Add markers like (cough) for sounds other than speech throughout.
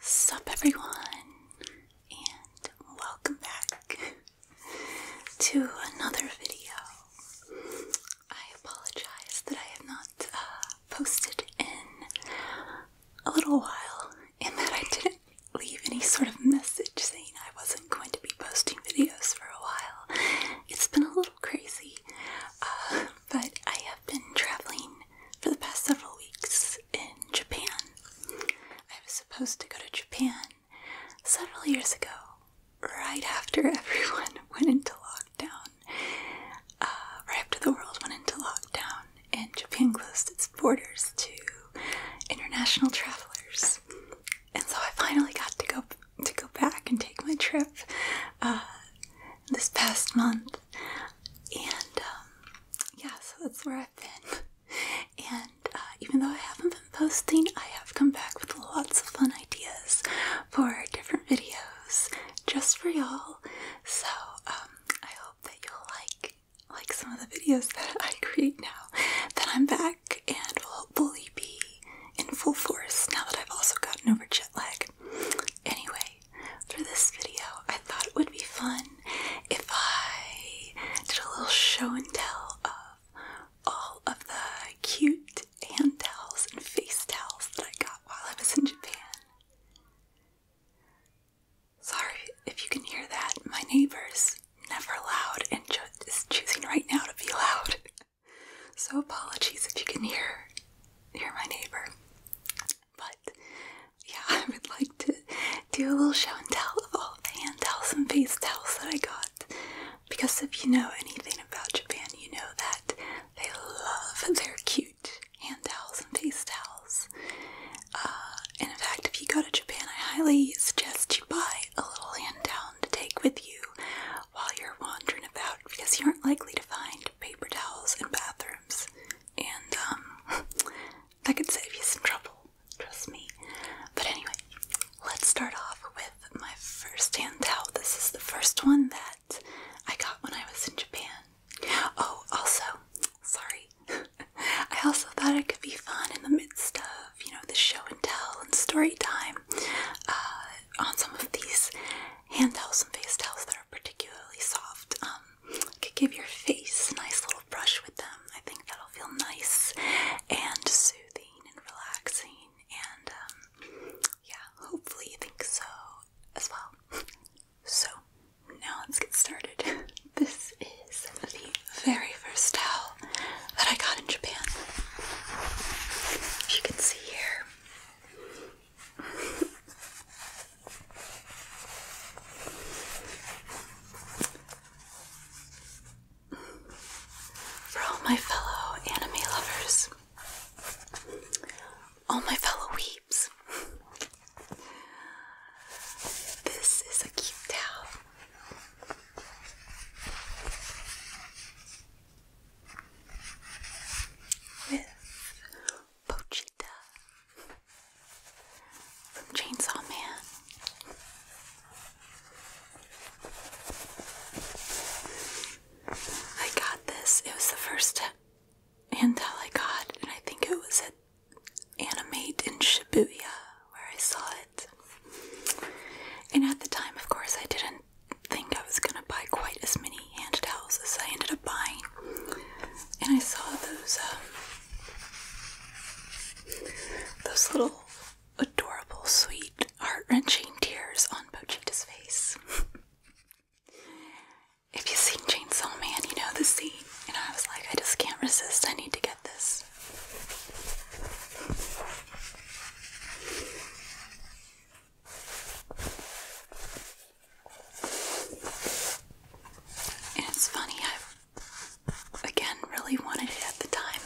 Sup everyone, and welcome back (laughs) to another video. I apologize that I have not uh, posted in a little while, and that I didn't leave any sort of message saying I wasn't going to be posting videos for a while. It's been a little crazy. Uh, but I have been traveling for the past several weeks in Japan. I was supposed to go to Japan several years ago, right after (laughs) everyone went into lockdown. Uh, right after the world went into lockdown and Japan closed its borders to international travelers. And so I finally got to go to go back and take my trip uh, this past month and um, yeah, so that's where I've been. (laughs) And uh, even though I haven't been posting, I have come back with lots of fun ideas for different videos just for y'all. So um, I hope that you'll like like some of the videos (laughs) that I create now that I'm back and will hopefully be in full force now that I've also gotten over jet lag. Anyway, for this video, I thought it would be fun if I did a little show and tell of all of the cute hand towels and face towels that I got while I was in Japan. Sorry if you can hear that, my neighbor's never loud and is choosing right now to be loud. (laughs) So apologies if you can hear hear my neighbor. But yeah, (laughs) I would like to do a little show and tell of all the hand towels and face towels that I got. Because if you know anything about Japan, you know that they love their cute hand towels and face towels. Uh, and in fact, if you go to Japan, I highly suggest you buy a little hand towel to take with you while you're wandering about because you aren't likely to find paper towels in bathrooms and um, (laughs) that could save you some trouble, trust me. But anyway, let's start off with my first handout. This is the first one that I got when I was in Japan. Oh, also, sorry, (laughs) I also thought it could be fun in the midst of you know the show and tell and story time uh, on some of these hand towels and face towels that are particularly soft. Um, could give your face a nice little brush with them. I think that'll feel nice and soothing and relaxing, and um, yeah, hopefully you think so as well. So now let's get started. (laughs) This is the very first towel that I got in Japan. As you can see here, for all my fellow anime lovers, all my fellow weeps, this is a cute towel. With poachy from Chainsaw Man. I got this. It was the first handheld I got, and I think it was at Anime in Shibuya where I saw it. And at the time, of course, I didn't think I was gonna buy quite as many handhelds as I ended up buying and I saw those um, those little adorable, sweet, heart-wrenching tears on Pochita's face. (laughs) if you've seen Chainsaw Man, you know the scene. And I was like, I just can't resist. I need to get this it's funny, I again really wanted it at the time,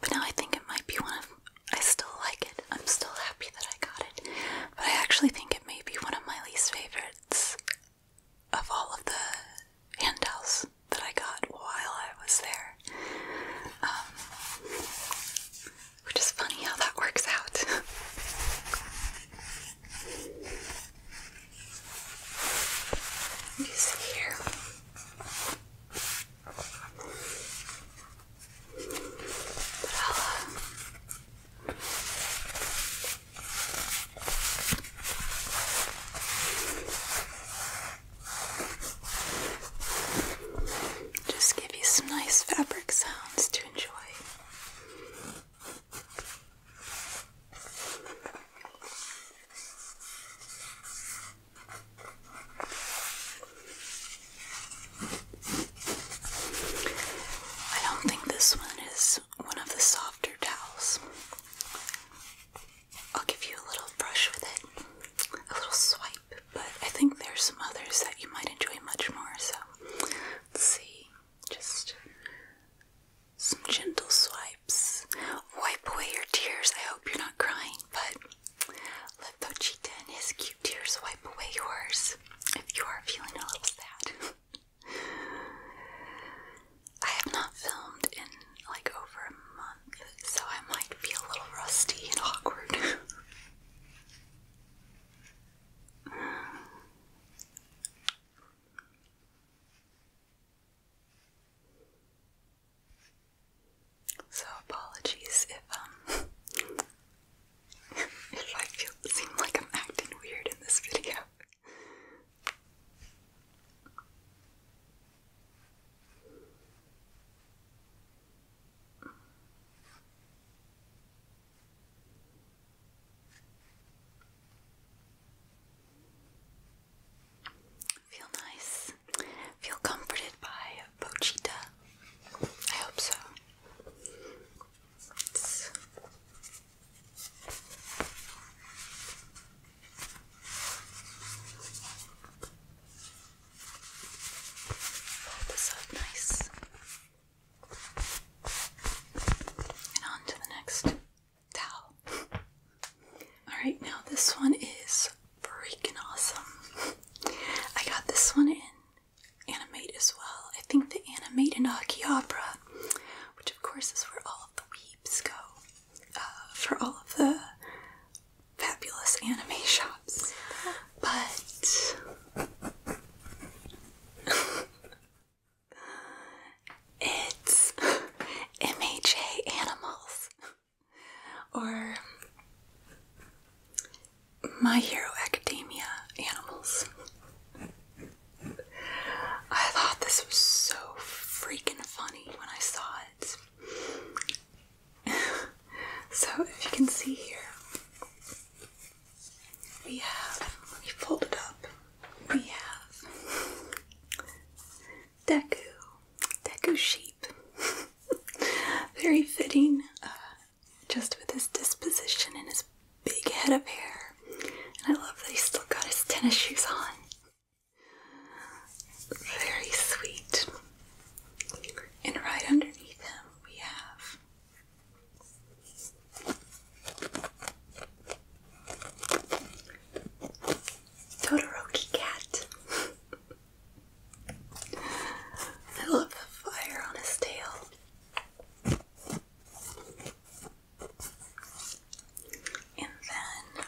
but now I think it might be one of. I still like it. I'm still happy that I got it, but I actually think it may be one of my least favorites of all of the handouts that I got while I was there. Um, which is funny how that works out. (laughs) here. just give you some nice fabric sounds to enjoy. I don't think this one is one of the softer towels. I'll give you a little brush with it, a little swipe, but I think there's some others that you might enjoy much more, so let's see. Just some gentle swipes. Wipe away your tears. I hope you're not crying, but let Pochita and his cute tears wipe away yours if you are feeling a little sad. (laughs) I have not filmed in like over a month, so I might be a little rusty and awkward. (laughs) So apologies if um (laughs) if I feel seem like I'm acting weird in this video. Feel nice. Feel comforted by Bochita. I hope so. this up nice. And on to the next towel. Alright, now this one is freaking awesome. I got this one in Animate as well. I think the animate in Akihabara, which of course is where all of the weeps go uh, for all of the fabulous anime shops. But (laughs) It's (laughs) MHA Animals or My Hero Academia Animals. I thought this was so freaking funny when I saw it. (laughs) so, if you can see here, we have, let me fold it up, we have Deku, Deku Sheep. (laughs) Very fitting, uh, just with his disposition and his big head of hair. And I love that he's still got his tennis shoes on. Very sweet. And right underneath him, we have Todoroki cat. (laughs) I love the fire on his tail. And then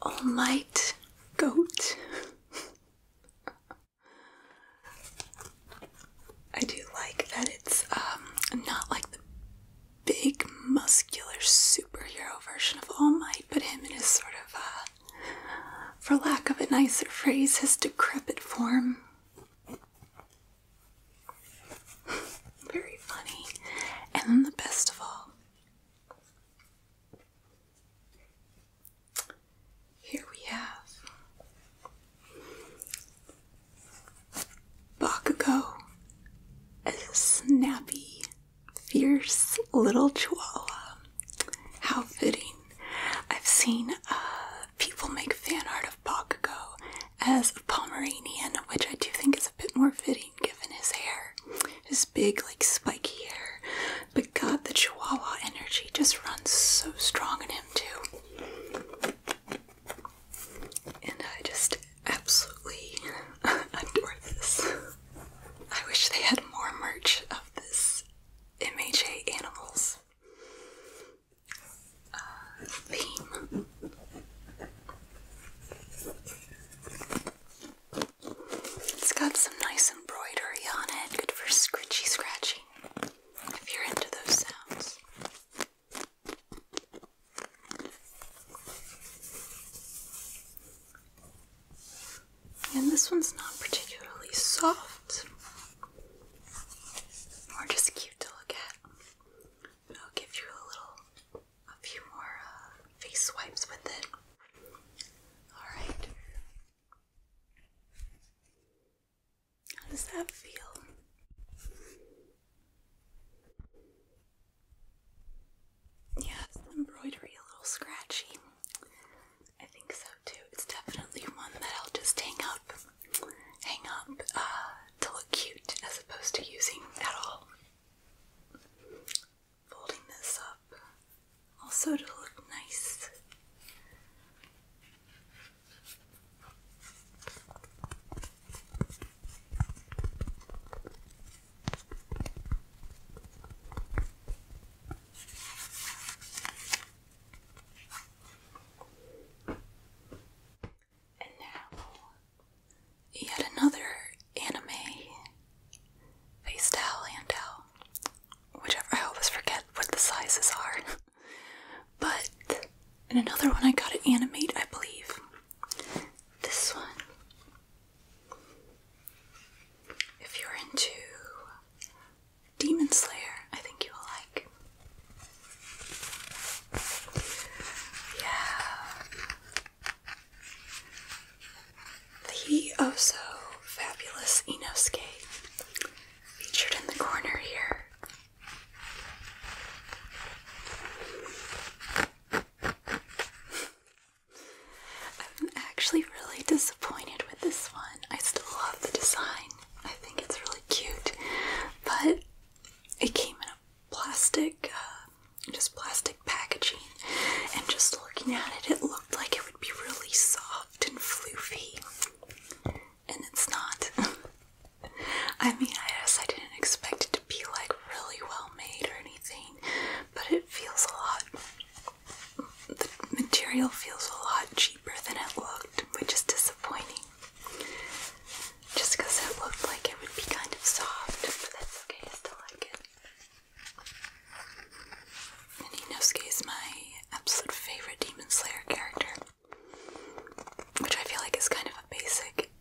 (laughs) All Goat. (laughs) I do like that it's um, not like the big muscular superhero version of All Might, but him in his sort of uh, for lack of a nicer phrase, his decrepit form. Very funny. And then the best of all here we have Bakugo a snappy, fierce little chihuahua. How fitting. I've seen uh, people make fan art of Bakugo as a Pomeranian, which I do think is a bit more fitting given his hair. His big, like, spiky hair. But God, the Chihuahua energy just runs so strong in him, too. And I just absolutely (laughs) adore this. I wish they had more merch of this MHA Animals uh, theme. It's got some nice embroidery on it, good for scritchy scratching if you're into those sounds. And this one's not particularly soft, more just cute to look at. I'll give you a little, a few more uh, face swipes with it. Alright, how does that feel? Yeah, embroidery a little scratchy. I think so too. It's definitely one that I'll just hang up, hang up uh, to look cute as opposed to using at all folding this up also to look nice. And now, yet another anime face towel handout whichever I always forget what the sizes are. (laughs) but in another one I got to animate, I believe. This one. If you're into Demon Slayer, I think you will like. Yeah. The oh so fabulous Inosuke featured in the corner here. I'm actually really disappointed with this one. I still love the design. I think it's really cute, but it came in a plastic, uh, just plastic packaging, and just looking at it, it looked like it would be really soft and floofy, and it's not. (laughs) I mean, I guess I didn't expect it to be like really well made or anything, but it feels a lot. The material feels a lot cheaper than it looked, which is disappointing. Just because it looked like it would be kind of soft, but that's okay, I still like it. Niniosuke is my absolute favorite Demon Slayer character, which I feel like is kind of a basic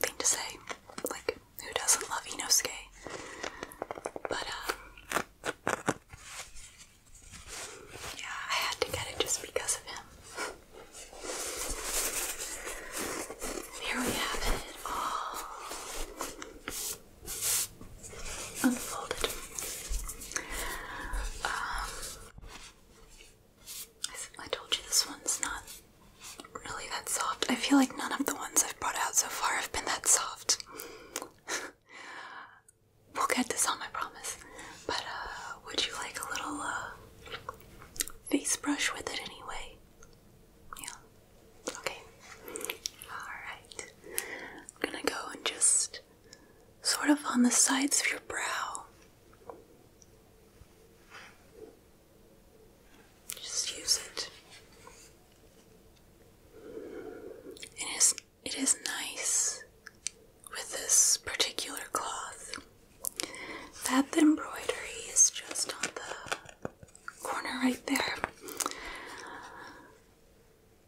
thing to say. Like, who doesn't love Inosuke? But, um, yeah, I had to get it just because of him. Here we have it all unfolded. Um, I, told you this one's not really that soft. I feel like none of the ones I've brought out so far have been that soft. (laughs) we'll get this on, I promise. But uh, would you like a little uh, face brush with it anyway? Yeah. Okay. All right. I'm gonna go and just sort of on the sides of your brow. Just use it. It is it is nice with this particular cloth that the embroidery is just on the corner right there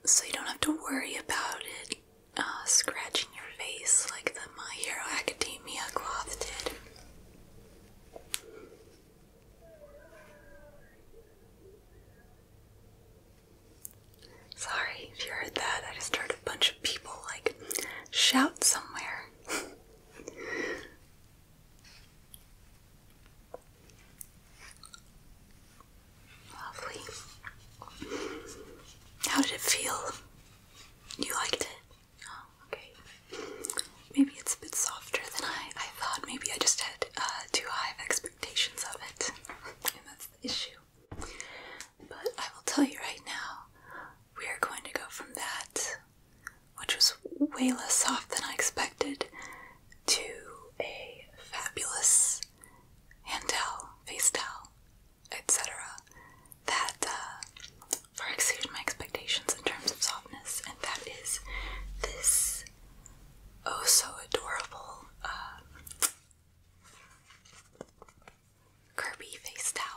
so you don't have to worry about it uh, scratching your face like the My Hero Academia cloth did. Sorry if you heard that. I just heard a bunch of people like shout somewhere. (laughs) Lovely. How did it feel? You liked it? Oh, okay. Maybe it's a bit softer than I, I thought. Maybe I just had uh, too high expectations of it. (laughs) And that's the issue. But I will tell you right now, we are going to go from that, which was way less soft than I expected, to a fabulous hand towel, face towel, etc. that uh, far exceeded my expectations in terms of softness, and that is this oh so adorable uh, Kirby face towel.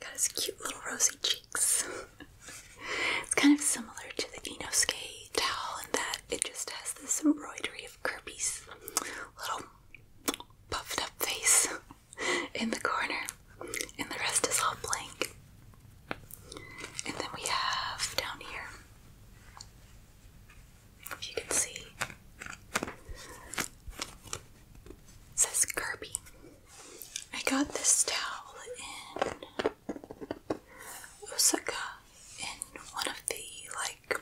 Got his cute little rosy cheeks. (laughs) it's kind of similar to the Skate towel in that it just has this embroidery of Kirby's little puffed up face (laughs) in the corner, and the rest is all blank. And then we have down here, if you can see, says Kirby. I got this towel in Osaka in one of the like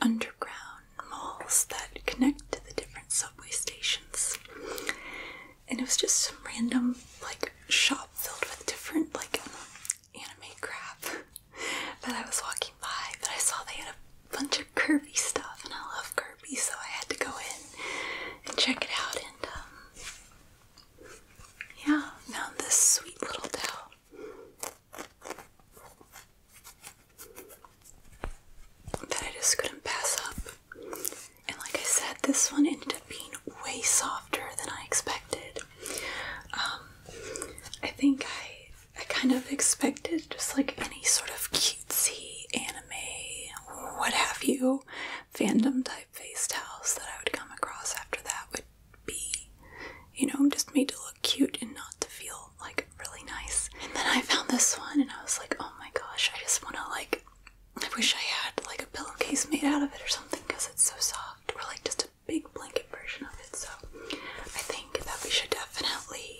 underground malls that connect to the different subway stations. And it was just some random like shop filled with different like anime crap (laughs) that I was walking by, but I saw they had a bunch of curvy stuff and I love curvy so I had to go in and check it out. And um, yeah, found this sweet little towel. That I just couldn't pass up. And like I said, this one ended up being way softer than I expected. Um, I think I I kind of expected just like any sort of cute cutesy anime, what have you, fandom type face towels that I would come across after that would be, you know, just made to look cute and not to feel like really nice. And then I found this one and I was like, oh my gosh, I just want to like, I wish I had like a pillowcase made out of it or something because it's so soft, or like just a big blanket version of it. So I think that we should definitely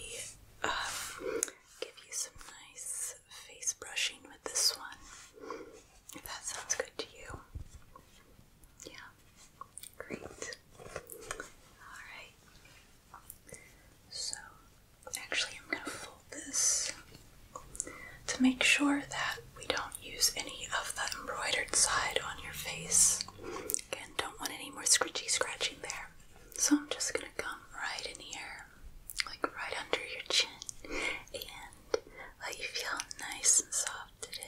um, give you some nice face brushing with this one. If that sounds good to you. Yeah. Great. Alright. So, actually, I'm going to fold this to make sure that we don't use any of the embroidered side on your face. Again, don't want any more scritchy scratching there. So, I'm just going to come right in here like right under your chin and let you feel how nice and soft it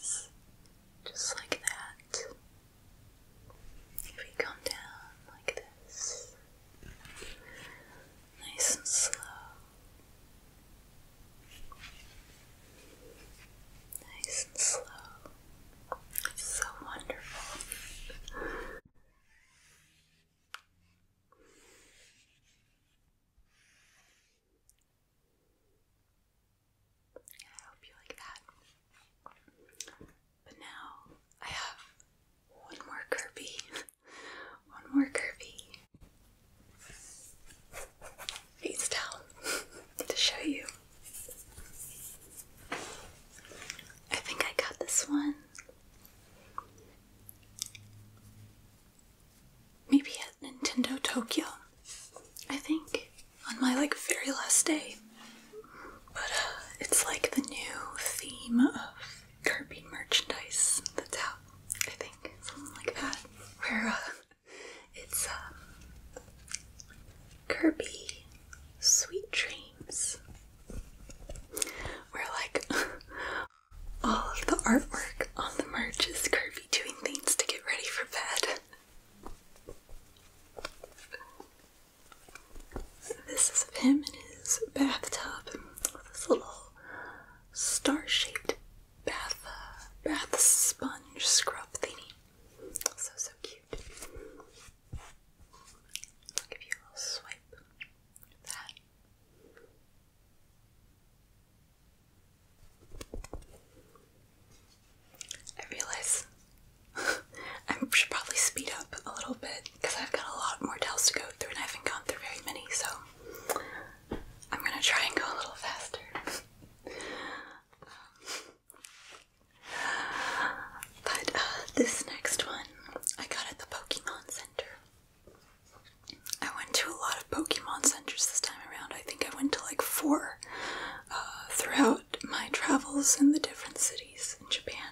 is. Just like that. If we come down like this, nice and slow. Nice and slow. It's so wonderful. I hope you like that. But now I have one more curvy, (laughs) one more curvy, Face towel (laughs) to show you. I think I got this one Maybe at Nintendo Tokyo. I think on my like very last day. But uh, it's like the new theme of Kirby merchandise that's how I think like that. Where uh, it's uh, Kirby Sweet Dreams where like (laughs) all of the artwork on the merch is Kirby doing things to get ready for bed. This is of him in his bathtub with this little star-shaped bath uh, bath sponge scrub thingy. So so cute. I'll give you a little swipe. I realize (laughs) I should probably speed up a little bit because I've got a lot more towels to go through and I haven't gone through very many, so I'm gonna try and go a little faster. (laughs) But uh, this next one I got at the Pokemon I went to a lot of Pokemon centers this time around. I think I went to like four uh, throughout my travels in the different cities in Japan.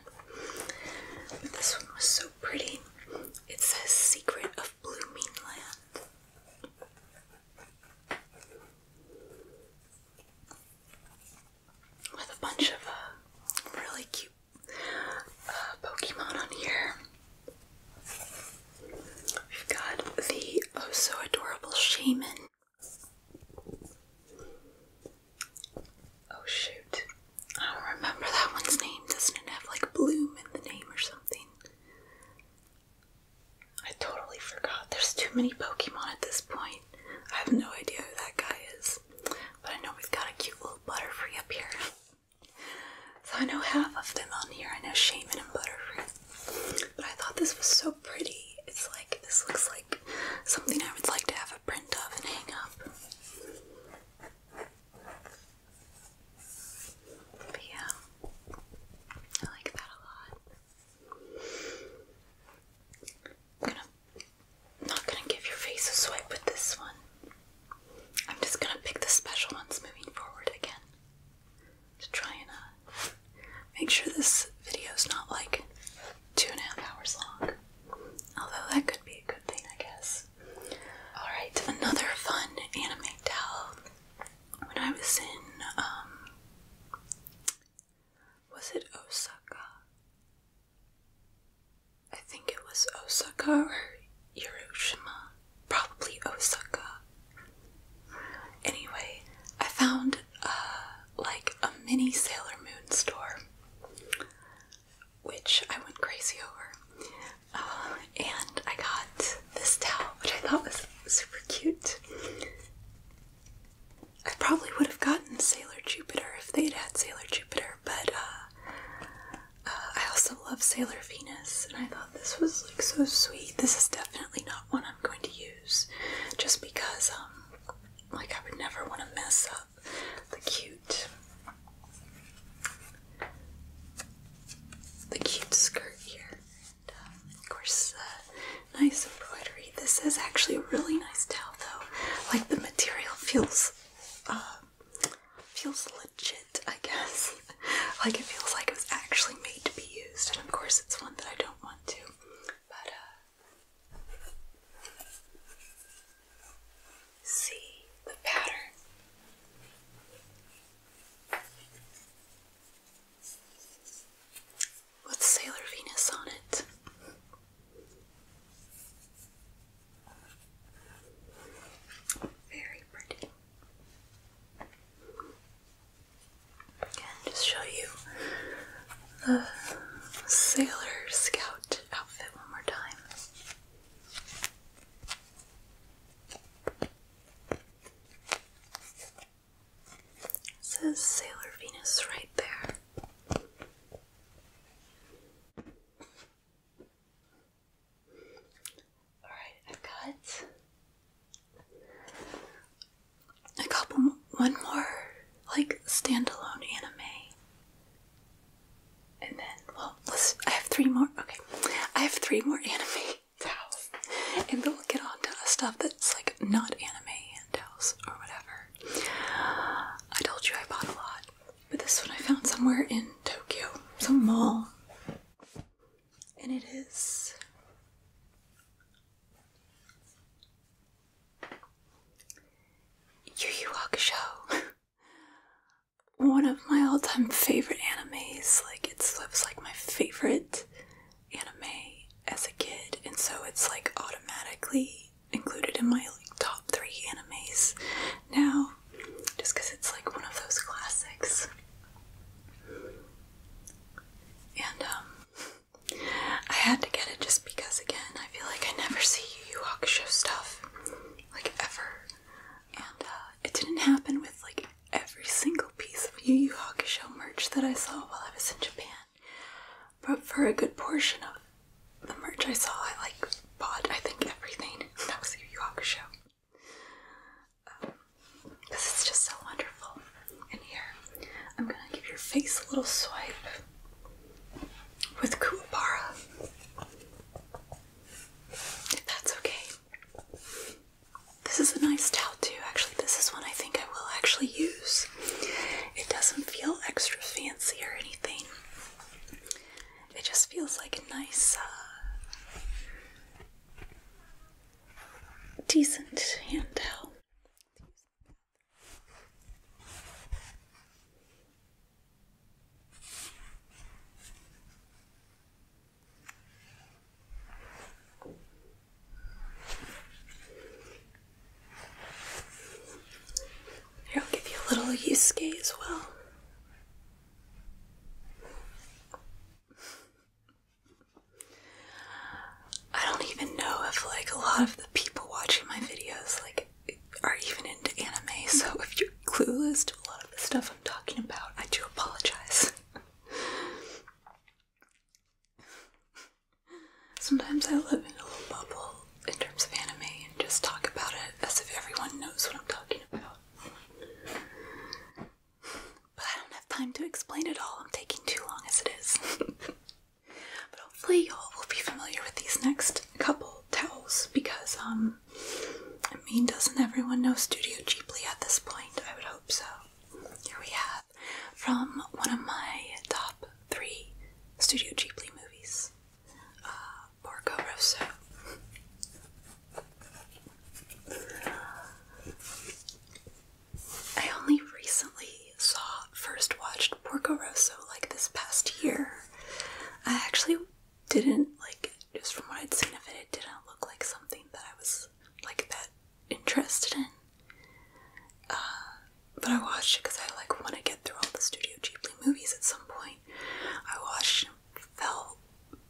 But this one was so pretty. It says Secret of Blue Land" With a bunch of uh, really cute uh, Pokemon on here. We've got the oh so adorable Shaman. Oh shoot. I don't remember that one's name. Doesn't it have like bloom in the name or something? I totally forgot. There's too many Pokemon at this point. I have no idea who that guy is. But I know we've got a cute little Butterfree up here. So I know half of them on here. I know Shaman and Butterfree. But I thought this was so pretty. It's like, this looks like something I would like to have a print of and hang up. But yeah, I like that a lot. I'm not gonna give your face a swipe with this one. I'm just gonna pick the special ones moving forward again to try and uh, make sure this video is not like two and a half hours long. Although that could be a good thing, I guess. Alright, another fun anime towel. When I was in, um, was it Osaka? I think it was Osaka or Hiroshima. Probably Osaka. Anyway, I found uh, like a mini Sailor Moon store, which I went crazy over. Uh, and I got this towel, which I thought was super cute. I probably would have gotten Sailor Jupiter if they'd had Sailor Jupiter, but uh, uh, I also love Sailor Venus, and I thought this was like so sweet. This is definitely not one I'm going to use, just because um, like I would never want to mess up the cute, the cute skirt here. Um, of course, uh, nice embroidery. This is actually a really nice towel, though. Like the material feels um, feels legit, I guess. (laughs) like it feels like it was actually made to be used, and of course it's one that I don't want to. But uh see the pattern. With Sailor Venus on it. Very pretty. And just show you the Sailor Scout outfit one more time. says Sailor Venus right there. Alright, I've got a couple, one more like standalone anime. And then, well, let's, I have three more, okay. I have three more anime (laughs) And then we'll get on to stuff that's like not anime and dolls or whatever. I told you I bought a lot. But this one I found somewhere in Tokyo, some mall. And it is Yu Yu Hakusho. (laughs) one of my all-time favorite animes. Like it's it was like my favorite anime as a kid, and so it's like automatically included in my like top three animes now just because it's like one of those classics. And um, I had to get it just because again I feel like I never see Yu Yu show stuff like ever. And uh, it didn't happen with like every single piece of Yu Yu show merch that I saw while I was in Japan. But for a good portion of the merch I saw, I like bought I think everything. (laughs) That was the Yu show. Um, this is just so wonderful. And here, I'm gonna give your face a little swipe with Kuwabara. If that's okay. This is a nice towel too. Actually, this is one I think I will actually use. It doesn't feel extra fancy or anything it just feels like a nice, uh, decent handheld. Here, I'll give you a little Yusuke as well. I don't even know if like a lot of the people watching my videos like are even into anime, so if you're clueless to a lot of the stuff I'm talking about, I do apologize. Sometimes I live in a little bubble in terms of anime and just talk about it as if everyone knows what I'm talking but I don't have time to explain it all. I'm taking too long as it is. (laughs) but hopefully y'all will be familiar with these next couple towels because um I mean doesn't everyone know Studio Ghibli at this point? I would hope so. Here we have from one of my top three Studio Ghibli movies uh, Porco Rosso. I only recently saw, first watched Porco Rosso like this past year. I actually didn't like, just from what I'd seen of it, it didn't look like something that I was like that interested in. Uh, but I watched it because I like want to get through all the Studio Ghibli movies at some point. I watched just fell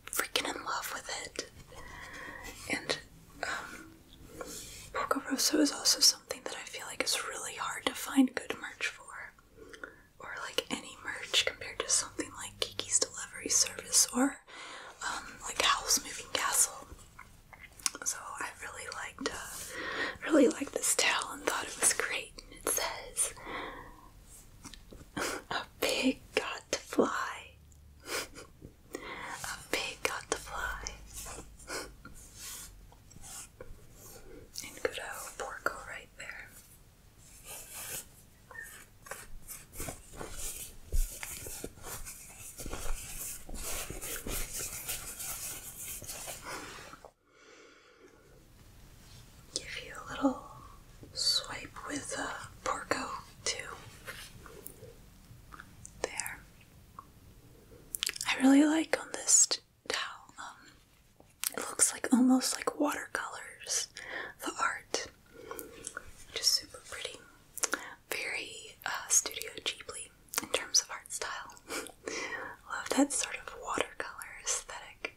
freaking in love with it. And um, is also something that I feel like is really hard to find good merch for. Or like any merch compared to something like Kiki's Delivery Service or um, like Howl's Moving Castle. So I really liked, uh, really liked this tale and thought it was great. And it says, a pig got to fly. a pig got to fly. and good old Porco right there give you a little swipe with a Porco too. There. I really like on this towel. Um, it looks like almost like watercolors. The art, just super pretty. Very uh, Studio cheaply in terms of art style. (laughs) Love that sort of watercolor aesthetic.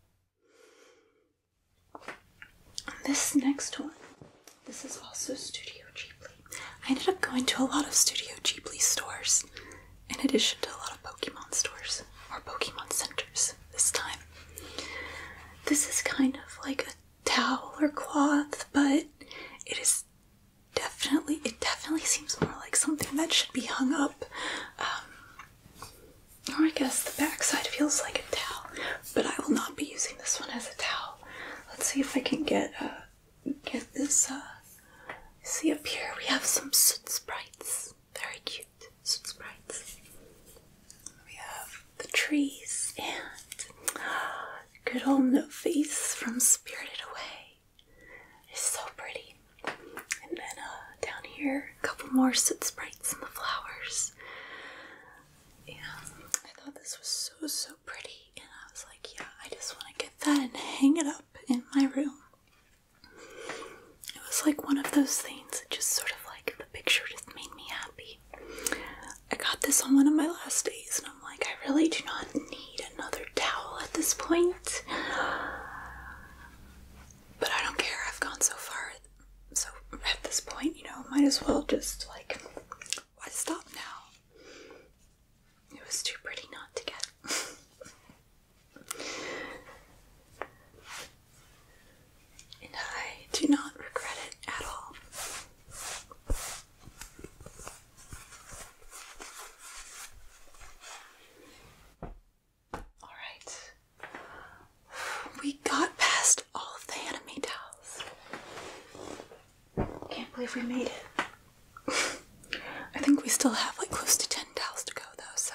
This next one, this is also Studio Ghibli. I ended up going to a lot of Studio Ghibli stores in addition to a lot of Pokemon stores or Pokemon centers this time. This is kind of like a towel or cloth, but it is definitely, it definitely seems more like something that should be hung up um, I guess the backside feels like a towel, but I will not be using this one as a towel. Let's see if I can get uh, get this. Uh, see up here we have some soot sprites, very cute soot sprites. We have the trees and good old no face from Spirited Away. It's so pretty. And then uh, down here, a couple more sit sprites in the flowers. Yeah, I thought this was so, so pretty. And I was like, yeah, I just want to get that and hang it up in my room. It was like one of those things that just sort of like the picture just made me happy. I got this on one of my last days, and I'm like, I really do not need another towel at this point. But I don't care. I've gone so far. So at this point, you know, might as well just like, why stop now? It was too pretty not to get. (laughs) and I do not regret it at all. All right. We got past all of the anime towels. Can't believe we made it. (laughs) I think we still have like close to 10 towels to go though, so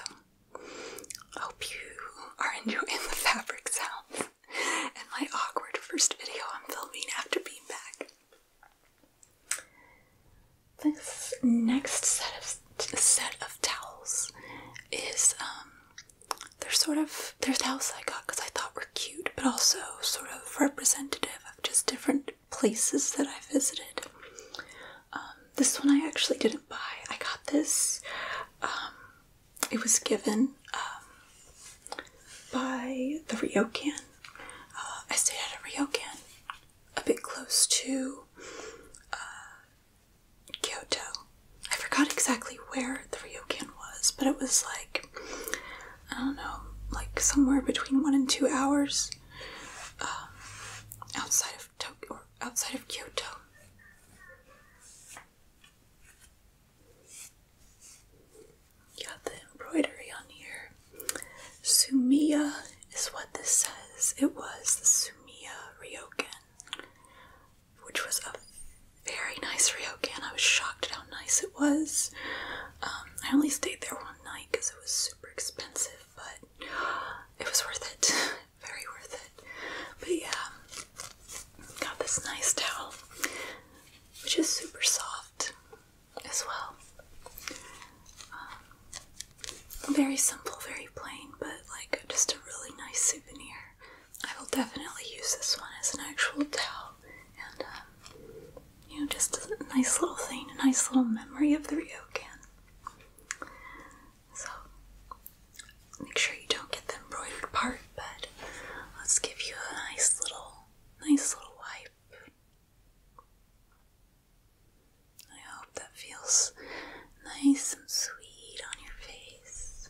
hope you are enjoying the fabric sounds and my awkward first video I'm filming after being back. This next set of set of towels is um they're sort of they're towels I got because I thought were cute, but also sort of representative of just different places that I visited. Um, this one I actually didn't buy. I got this. Um, it was given um, by the Ryokan. Uh, I stayed at a Ryokan a bit close to uh, Kyoto. I forgot exactly where the ryokan was, but it was like I don't know, like somewhere between one and two hours um, outside of Tokyo or outside of Kyoto. Got the embroidery on here. Sumiya is what this says. It was Sumiya Ryokan, which was a very nice Ryokan. I was shocked at how nice it was. Um, I only stayed there one night because it was super expensive, but it was worth it. (laughs) very worth it. But yeah, got this nice towel, which is super soft as well. Um, very simple, very plain, but like just a really nice souvenir. I will definitely use this one as an actual towel and, um, you know, just a nice little thing, a nice little memory of the ryokan. So, make sure you don't get the embroidered part, but let's give you a nice little, nice little wipe. I hope that feels nice and sweet on your face.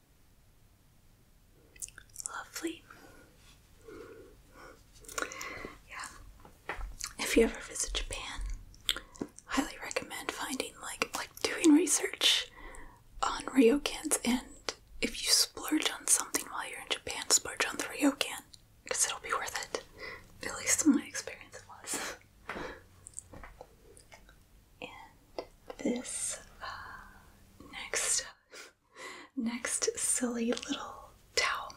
Lovely. Yeah. If you ever visit Japan, highly recommend finding like like doing research on ryokans and if you splurge on something while you're in Japan, splurge on the ryokan because it'll be worth it. At least in my experience it was. And this uh, next uh, next silly little towel.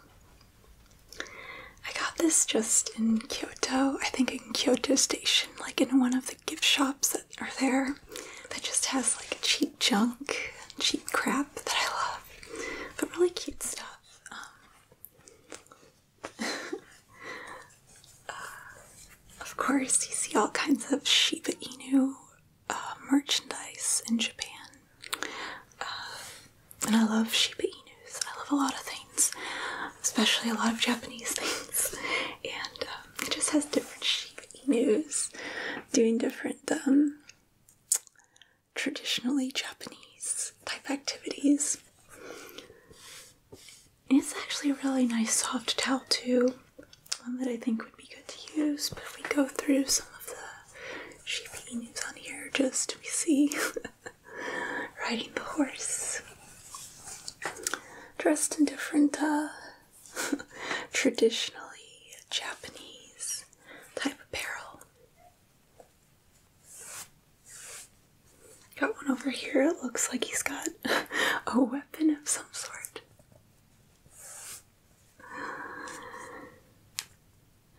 I got this just in Kyoto, I think in Kyoto Station, like in one of the gift shops that are there that just has like cheap junk, cheap crap that I love, but really cute stuff. Um, (laughs) uh, of course, you see all kinds of Shiba Inu uh, merchandise in Japan, uh, and I love Shiba Inus. I love a lot of things, especially a lot of Japanese (laughs) things, and um, it just has different Shiba Inus doing different um, traditionally Japanese type activities. it's actually a really nice soft towel too one that I think would be good to use, but we go through some of the sheepy news on here just we see (laughs) riding the horse. Dressed in different, uh, (laughs) traditionally Japanese type apparel. Got one over here, it looks like he's got (laughs) a weapon of some sort.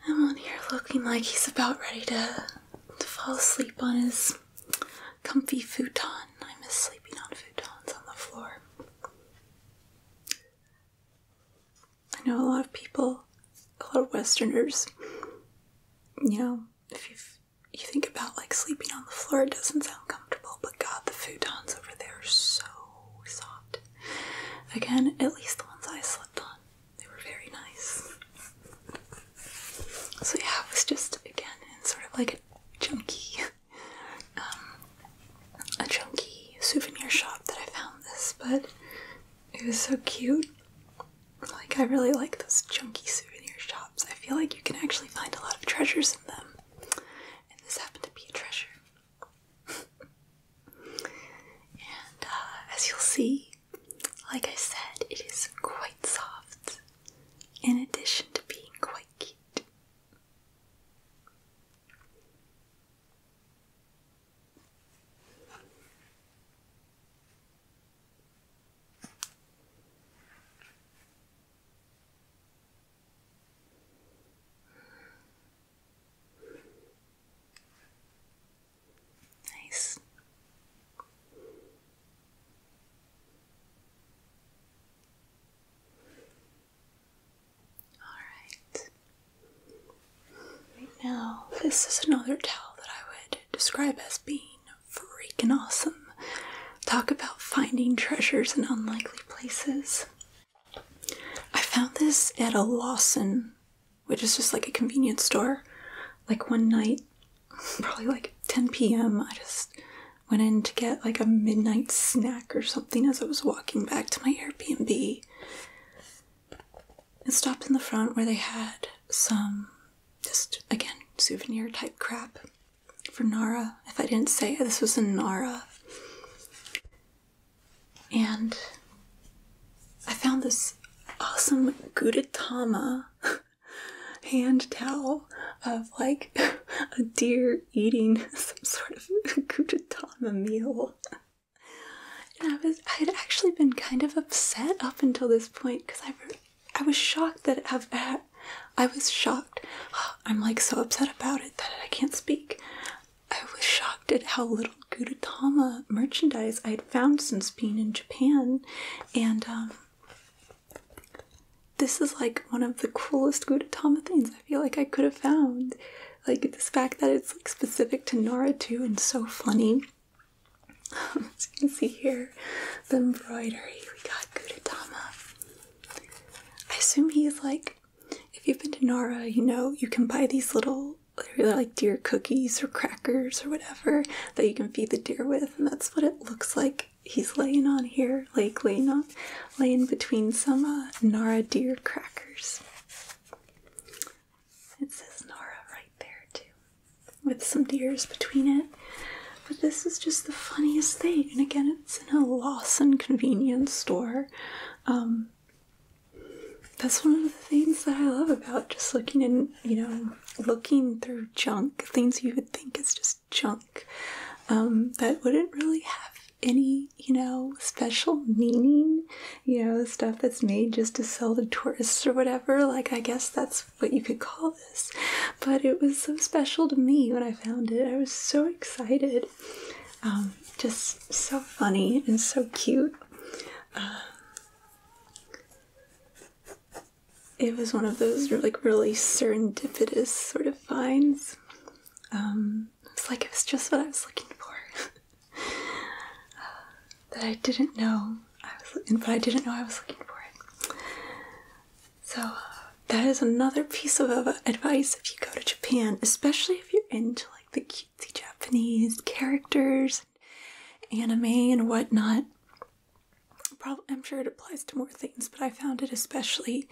I'm on here looking like he's about ready to, to fall asleep on his comfy futon. I miss sleeping on futons on the floor. I know a lot of people, a lot of Westerners, you know, if you you think about like sleeping on the floor, it doesn't sound comfortable, but God, the futons over there are so soft. Again, at least the ones I slept on, they were very nice. So yeah, it was just again in sort of like a chunky, um, a chunky souvenir shop that I found this, but it was so cute. Like I really like those chunky souvenir shops. I feel like you can actually find a lot of treasures in them, and this happened to be a treasure and uh, as you'll see, like I said, it is quite soft in addition to being quite cute. Nice. Alright. Right now, this is another tale that I would describe as being freaking awesome. Talk about finding treasures in unlikely places. I found this at a Lawson, which is just like a convenience store. Like one night, (laughs) probably like 10 p.m., I just went in to get like a midnight snack or something as I was walking back to my Airbnb. And stopped in the front where they had some, just again, souvenir type crap for Nara. If I didn't say this was in Nara and I found this awesome Gudetama (laughs) hand towel of like (laughs) a deer eating (laughs) some sort of Gudetama meal. And I was I had actually been kind of upset up until this point because I I was shocked that I've uh, I was shocked. (gasps) I'm like so upset about it that I can't speak. I was shocked at how little Gudetama merchandise I had found since being in Japan, and um, this is like one of the coolest Gudetama things I feel like I could have found. Like this fact that it's like specific to Nora too, and so funny. (laughs) As you can see here, the embroidery we got Gudetama. I assume he's like if you've been to Nara, you know you can buy these little like deer cookies or crackers or whatever that you can feed the deer with, and that's what it looks like. He's laying on here, like laying on, laying between some uh, Nara deer crackers. It says Nara right there too, with some deers between it. But this is just the funniest thing, and again, it's in a Lawson convenience store. Um, that's one of the things that I love about just looking in, you know, looking through junk, things you would think is just junk um, that wouldn't really have any, you know, special meaning, you know, stuff that's made just to sell to tourists or whatever. Like, I guess that's what you could call this. But it was so special to me when I found it. I was so excited. Um, just so funny and so cute. Uh, it was one of those like really serendipitous sort of finds. Um, it's like it was just what I was looking for. (laughs) Uh, that I didn't know I was looking, but I didn't know I was looking for it. So uh, that is another piece of advice if you go to Japan, especially if you're into the cutesy Japanese characters, anime, and whatnot. Probably, I'm sure it applies to more things, but I found it especially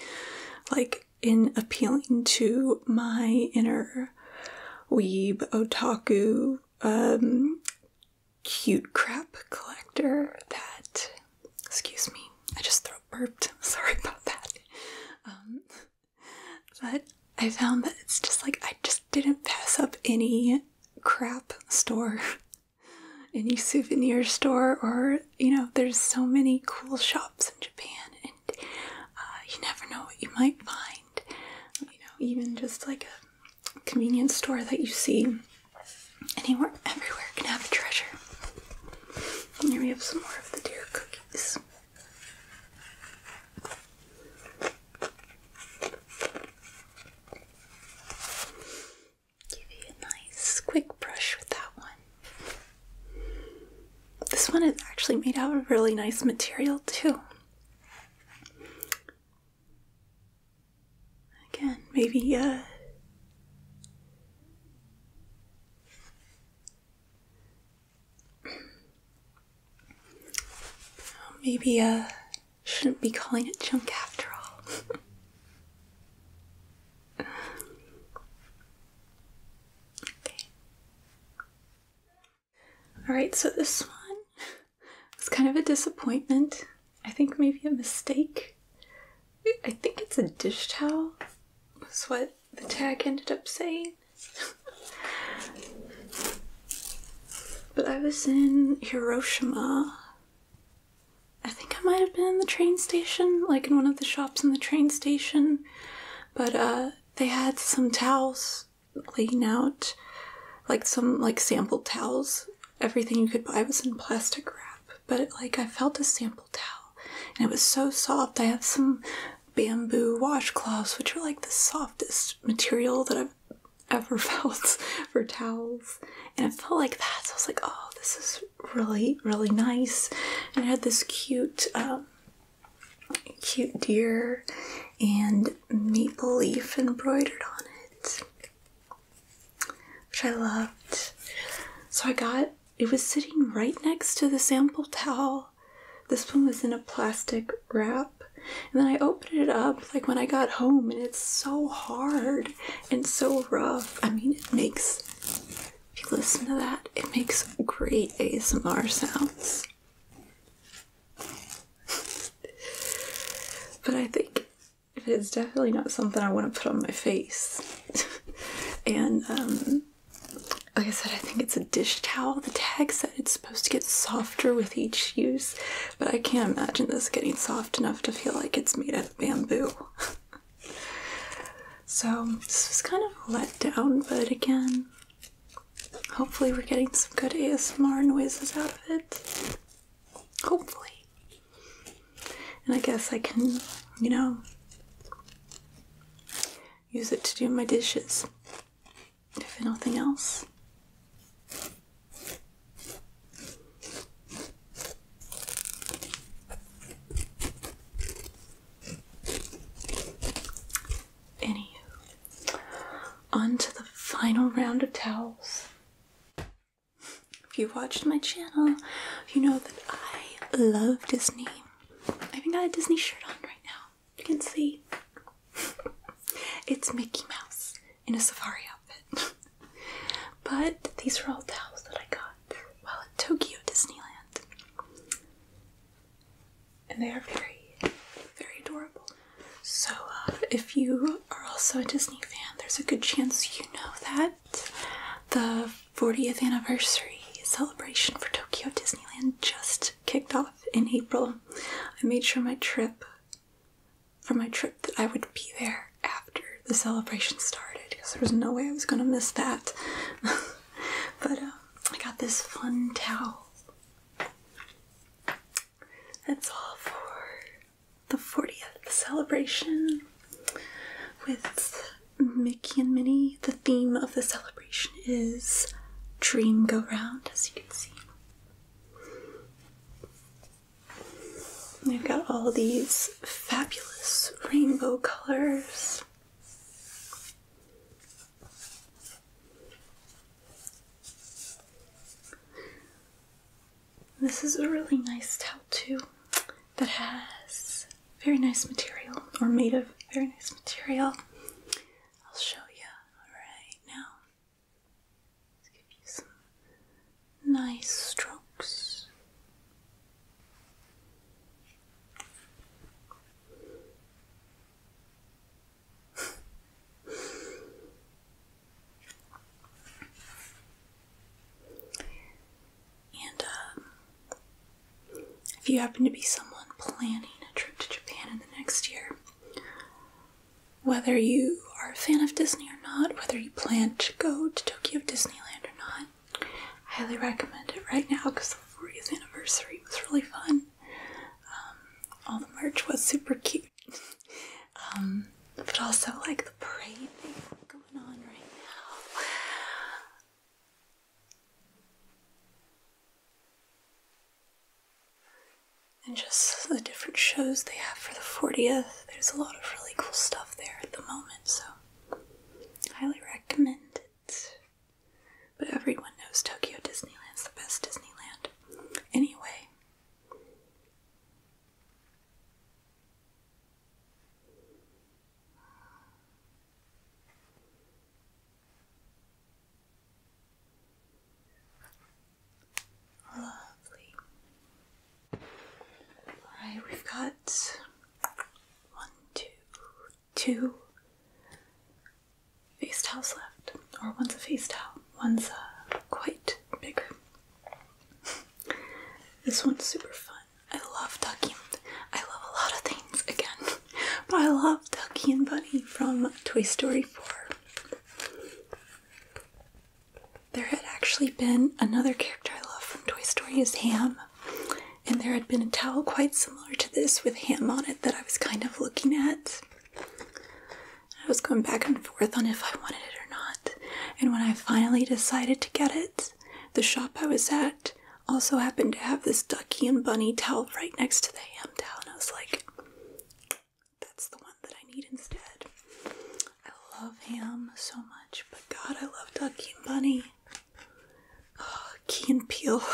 like in appealing to my inner weeb otaku um, cute crap collector that excuse me i just throat burped (laughs) sorry about that um, but I found that it's just like I just didn't pass up any crap store, (laughs) any souvenir store, or you know, there's so many cool shops in Japan, and uh, you never know what you might find. You know, even just like a convenience store that you see anywhere, everywhere can have a treasure. And here we have some more of the deer cookies. Give you a nice quick brush with that one. This one is actually made out of really nice material, too. Again, maybe uh, Maybe I uh, shouldn't be calling it junk after all. (laughs) okay. Alright, so this one was kind of a disappointment. I think maybe a mistake. I think it's a dish towel. what the tag ended up saying. but I was in Hiroshima. I think I might have been in the train station, like in one of the shops in the train station. But uh, they had some towels laying out, like some like sample towels. Everything you could buy was in plastic wrap, but like I felt a sample towel, and it was so soft. I had some bamboo washcloths, which are like the softest material that I've ever (laughs) felt for towels. And it felt like that. So I was like, oh, this is really, really nice. And it had this cute, um, cute deer and maple leaf embroidered on it, which I loved. So I got it was sitting right next to the sample towel this one was in a plastic wrap. And then I opened it up like when I got home, and it's so hard and so rough. I mean, it makes, if you listen to that, it makes great ASMR sounds. but I think it's definitely not something I want to put on my face. (laughs) and um, like I said, I think it's a dish towel. The tag said it's supposed to get softer with each use, but I can't imagine this getting soft enough to feel like it's made out of bamboo. (laughs) so, this was kind of a letdown, but again, hopefully, we're getting some good ASMR noises out of it. Hopefully. And I guess I can, you know, use it to do my dishes if nothing else. Anywho, on to the final round of towels. If you have watched my channel, you know that I love Disney. I even got a Disney shirt on right now. You can see it's Mickey Mouse in a safari outfit. (laughs) but these are all towels that I got while at Tokyo Disneyland. And they are very, very adorable. So, uh, if you are also a Disney fan, there's a good chance you know that the 40th anniversary celebration for Tokyo Disneyland just kicked off in April, I made sure my trip, for my trip, that I would be there after the celebration started because there was no way I was gonna miss that. (laughs) but uh, I got this fun towel. That's all for the 40th celebration with Mickey and Minnie, the theme of the celebration is Dream Go Round, as you can see. we have got all these fabulous rainbow colors. This is a really nice towel, too, that has very nice material, or made of very nice material. I'll show you right now. Let's give you some nice strokes. (laughs) and um, if you happen to be someone planning a trip to Japan in the next year, whether you are a fan of Disney or not, whether you plan to go to Tokyo Disneyland or not, highly recommend it right now because the 40th anniversary was really fun. Um, all the merch was super cute. (laughs) Um, but also, like, the parade thing going on right now. And just the different shows they have for the 40th, there's a lot of really cool stuff there at the moment, so highly recommend it. But everyone knows Tokyo Disneyland's the best Disneyland. Anyway, Lovely. Alright, we've got one, two, two face towels left. Or one's a face towel, one's a quite bigger. (laughs) this one's super fun. I love tucking. I love a lot of things again. I love Ducky and Bunny from Toy Story 4. There had actually been another character I love from Toy Story is Ham. And there had been a towel quite similar to this with ham on it that I was kind of looking at. I was going back and forth on if I wanted it or not. And when I finally decided to get it, the shop I was at also happened to have this ducky and bunny towel right next to the ham towel. And I was like, that's the one that I need instead. I love him so much, but God, I love Ducky and Bunny. Oh, Key and Peele. (laughs)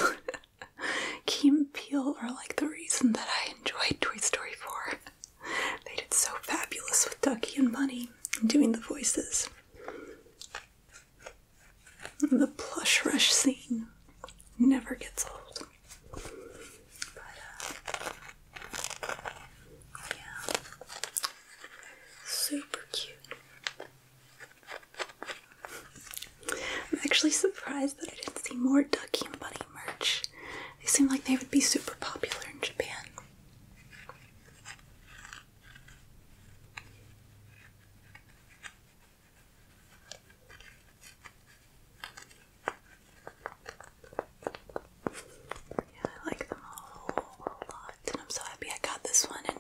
Key are like the reason that I enjoyed Toy Story 4. They did so fabulous with Ducky and Bunny doing the voices. The plush rush scene never gets old. Uh, oh, super cute. I'm actually surprised that I didn't see more Duckie and Bunny merch. They seem like they would be super popular in Japan. I like them all a lot, and I'm so happy I got this one and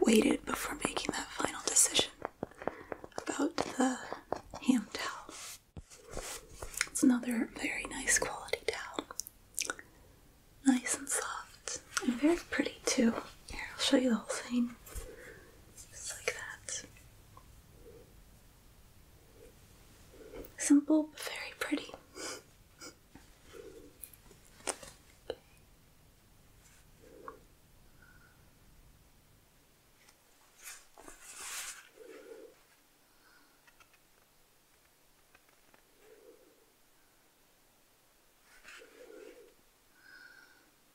waited before making that final decision about the ham towel. It's another very nice quality towel. Nice and soft, and very pretty too. Here, I'll show you the whole thing. Just like that. Simple but very pretty.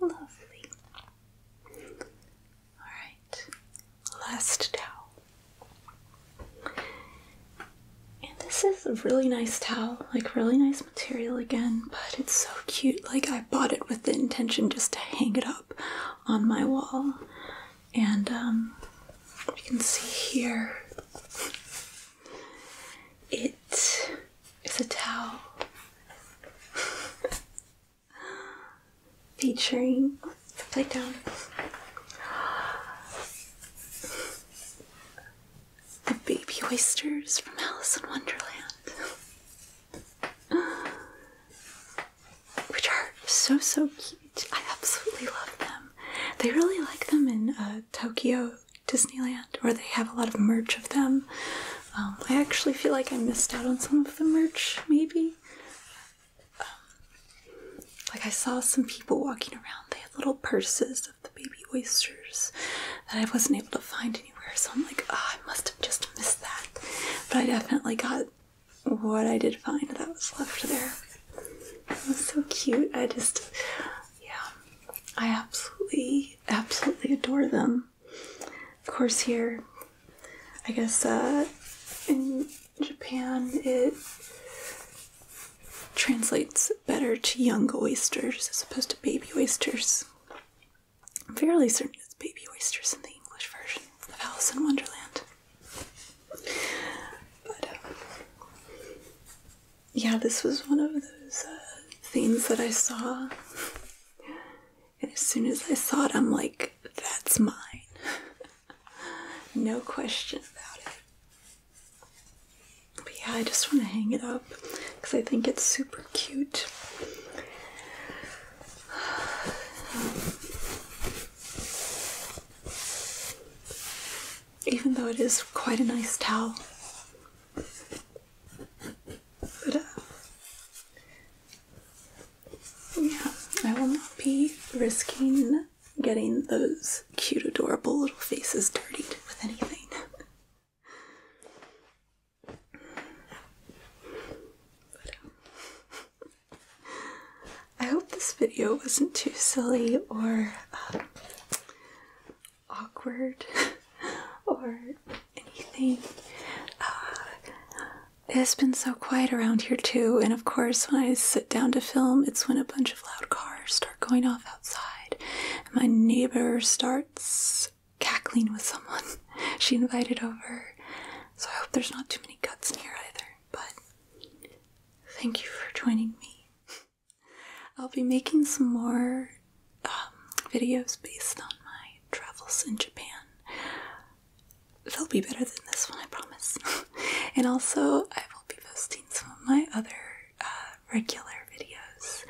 Lovely. Alright, last towel. And this is a really nice towel, like really nice material again, but it's so cute. Like I bought it with the intention just to hang it up on my wall. And um you can see here it is a towel. (laughs) featuring the playdown. The baby oysters from Alice in Wonderland. Which are so so cute. I absolutely love them. They really like them in uh, Tokyo Disneyland, where they have a lot of merch of them. Um, I actually feel like I missed out on some of the merch, maybe. Um, like, I saw some people walking around, they had little purses of the baby oysters that I wasn't able to find anywhere, so I'm like, ah, I must have just missed that. But I definitely got what I did find that was left there. It was so cute. I just, yeah, I absolutely, absolutely adore them of course, here, I guess uh, in Japan it translates better to young oysters as opposed to baby oysters. I'm fairly certain it's baby oysters in the English version of Alice in Wonderland. But uh, yeah, this was one of those uh, things that I saw as soon as I saw it, I'm like, that's mine. (laughs) no question about it. But yeah, I just want to hang it up because I think it's super cute. (sighs) even though it is quite a nice towel yeah, I will not be risking getting those cute, adorable little faces dirtied with anything. Um, I hope this video wasn't too silly or uh, awkward (laughs) or anything. Uh, it has been so quiet around here too, and of course, when I sit down to film, it's when a bunch of loud cars start going off outside, my neighbor starts cackling with someone (laughs) she invited over. So I hope there's not too many cuts here either, but thank you for joining me. (laughs) I'll be making some more um, videos based on my travels in Japan. They'll be better than this one, I promise. (laughs) and also, I will be posting some of my other uh, regular videos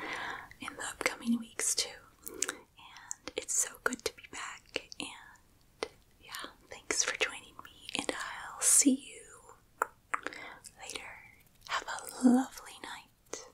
in the upcoming weeks too. And it's so good to be back. And yeah, thanks for joining me, and I'll see you later. Have a lovely night.